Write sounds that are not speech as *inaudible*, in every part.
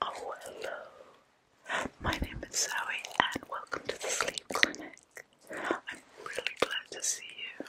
Oh, hello. My name is Zoe, and welcome to the Sleep Clinic. I'm really glad to see you.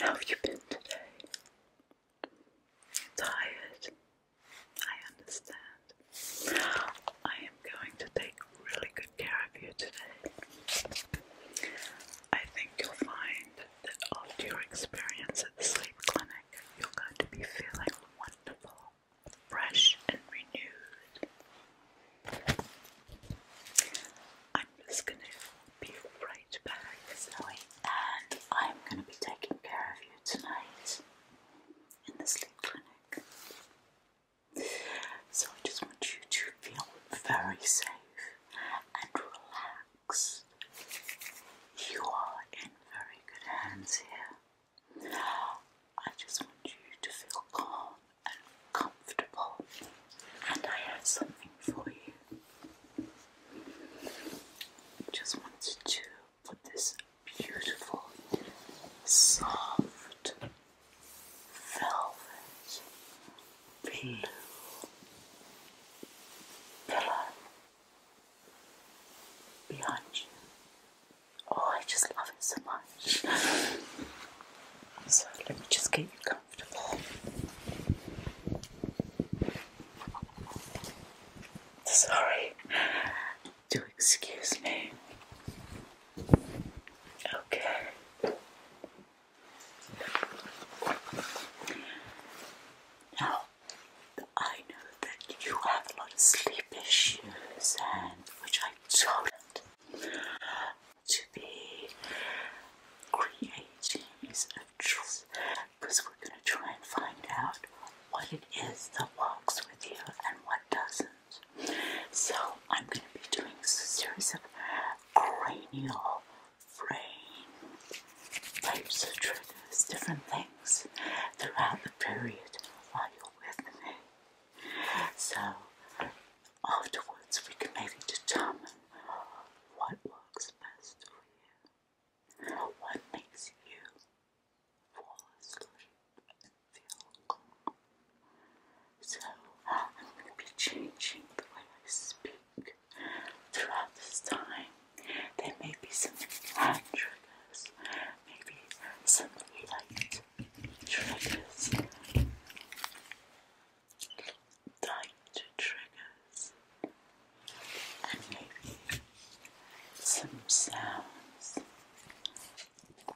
How have you been today? Tired? I understand. I am going to take really good care of you today. I think you'll find that after your experience at the sleep clinic, you're going to be feeling wonderful, fresh, and renewed. I'm just going to be right back, Zoe, and I'm going to be taking care of you tonight in the sleep clinic. So I just want you to feel very safe and relaxed. You are in very good hands here. I just want you to feel calm and comfortable. And I have something for you. Just wanted to put this beautiful, soft velvet blue pillow behind you. Oh, I just love it so much. *sighs* so let me just get you comfortable. Sorry, do excuse me. Okay, now, I know that you have a lot of sleep issues, and which I do To be creating is a choice, because we're going to try and find out what it is that works with you and what doesn't. So I'm going to be doing a series of cranial frame types of triggers, different things throughout the period while you're with me. So afterwards we can maybe determine what works best for you. What makes you fall asleep feel. So I'm going to be changing the way I speak throughout this time. There may be some hand triggers, maybe some light triggers, light triggers, and maybe some sounds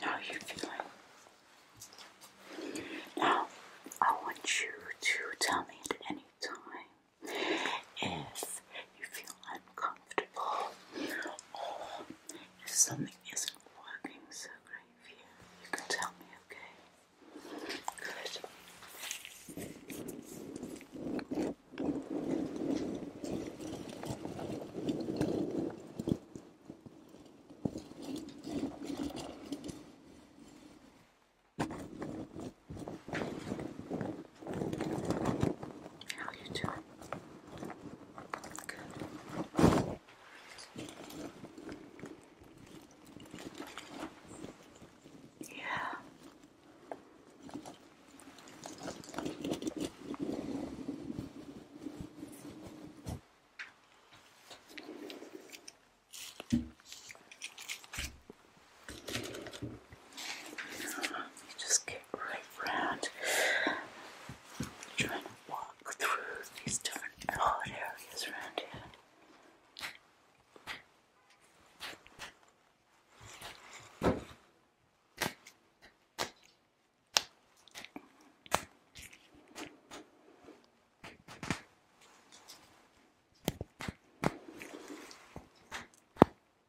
How you feeling? Now, I want you to tell me at any time if you feel uncomfortable or something isn't working so great for you, you can tell me, okay? Good. How you doing? Good. Yeah. You just get right round, trying to walk through these different odd areas around here.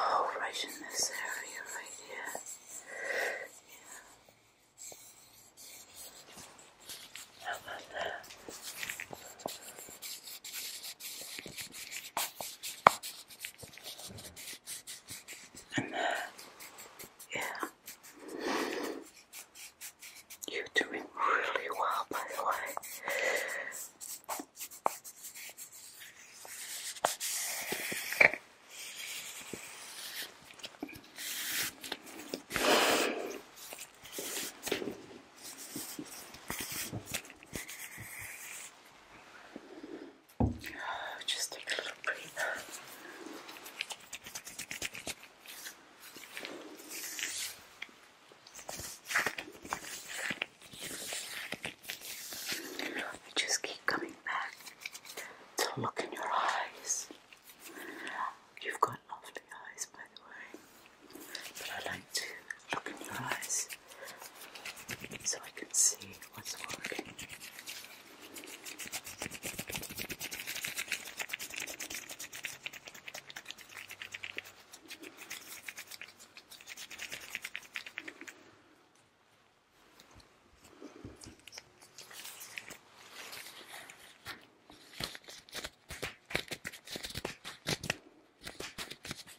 Oh, right in this area right here. Yeah. How about that? And yeah. You're doing really well, by the way. *sighs* Just take a little breather. I just keep coming back to look in your eyes. You've got lovely eyes, by the way, but I like to look in your eyes so I can see what's working.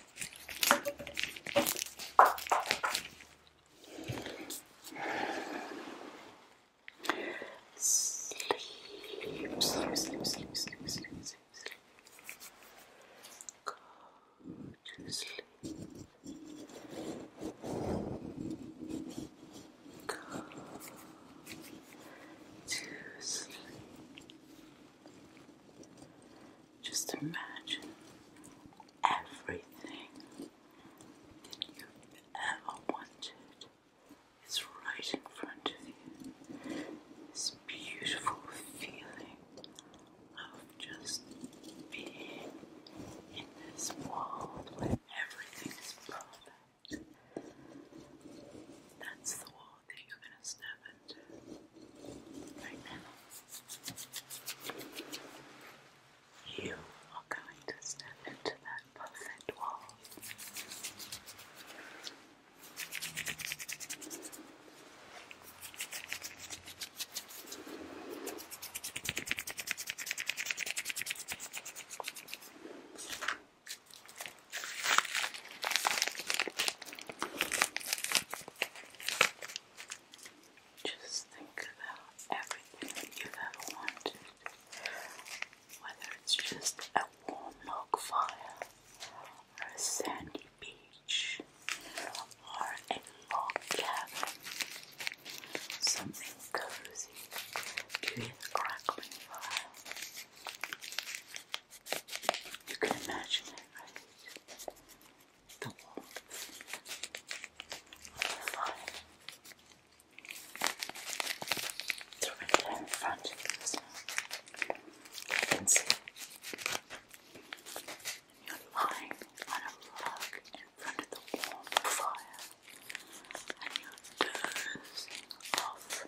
Sleep, sleep, Go to sleep. Go to sleep. Just imagine everything that you've ever wanted is right in front of you. This beautiful feeling of just being in this world where everything is perfect. That's the world hole that you're going to step into right now. You are going to step into that perfect wall. Just think about everything you've ever wanted, whether it's just a warm log fire, a sandy beach, or a log cabin, something cozy, you hear crackling fire. You can imagine it, right? The walls of the fire. So right there in front of us You can see. You're lying on a rug in front of the warm fire. And you're dozing off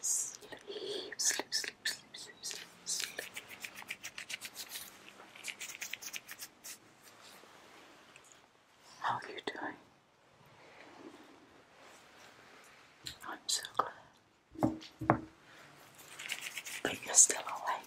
Sleep, sleep, sleep, sleep, sleep, sleep, sleep. How are you doing? I'm so glad. But you're still awake.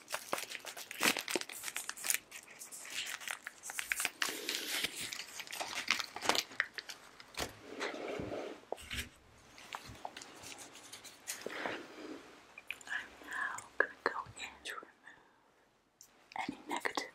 I'm now going to go in remove any negativity.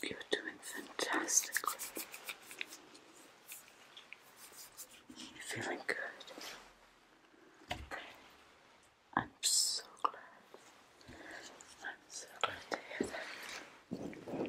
You're doing fantastically. You're feeling good. I'm so glad. I'm so glad to hear that.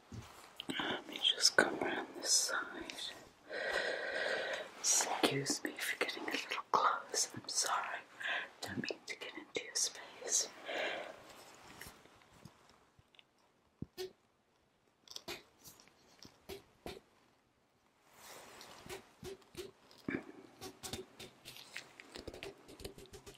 Let me just come around this side. Excuse me for getting a little close. I'm sorry. Don't mean to get into your space.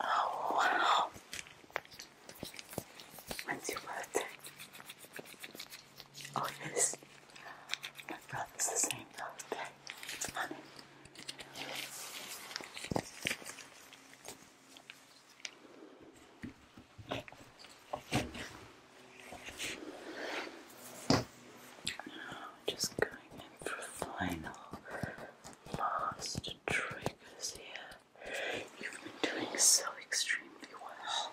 Oh, wow. Once you put Oh, yes. My brother's the same birthday. It's funny. Just going in for final last triggers here. You've been doing so extremely well.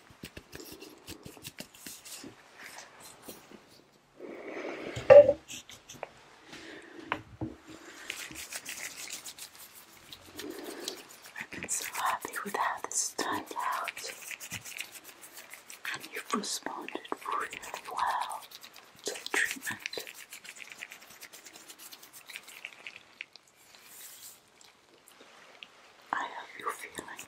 i have been so happy with how this turned out, and you've responded really well to the treatment. I hope you feeling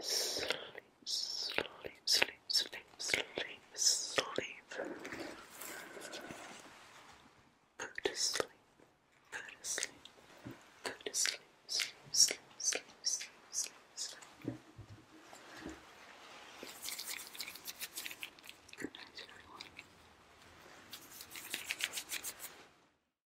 Sleep, sleep, sleep, sleep, sleep, sleep. Go to sleep, go to sleep, go to sleep, sleep, sleep, sleep, sleep, sleep, sleep. Good night, everyone.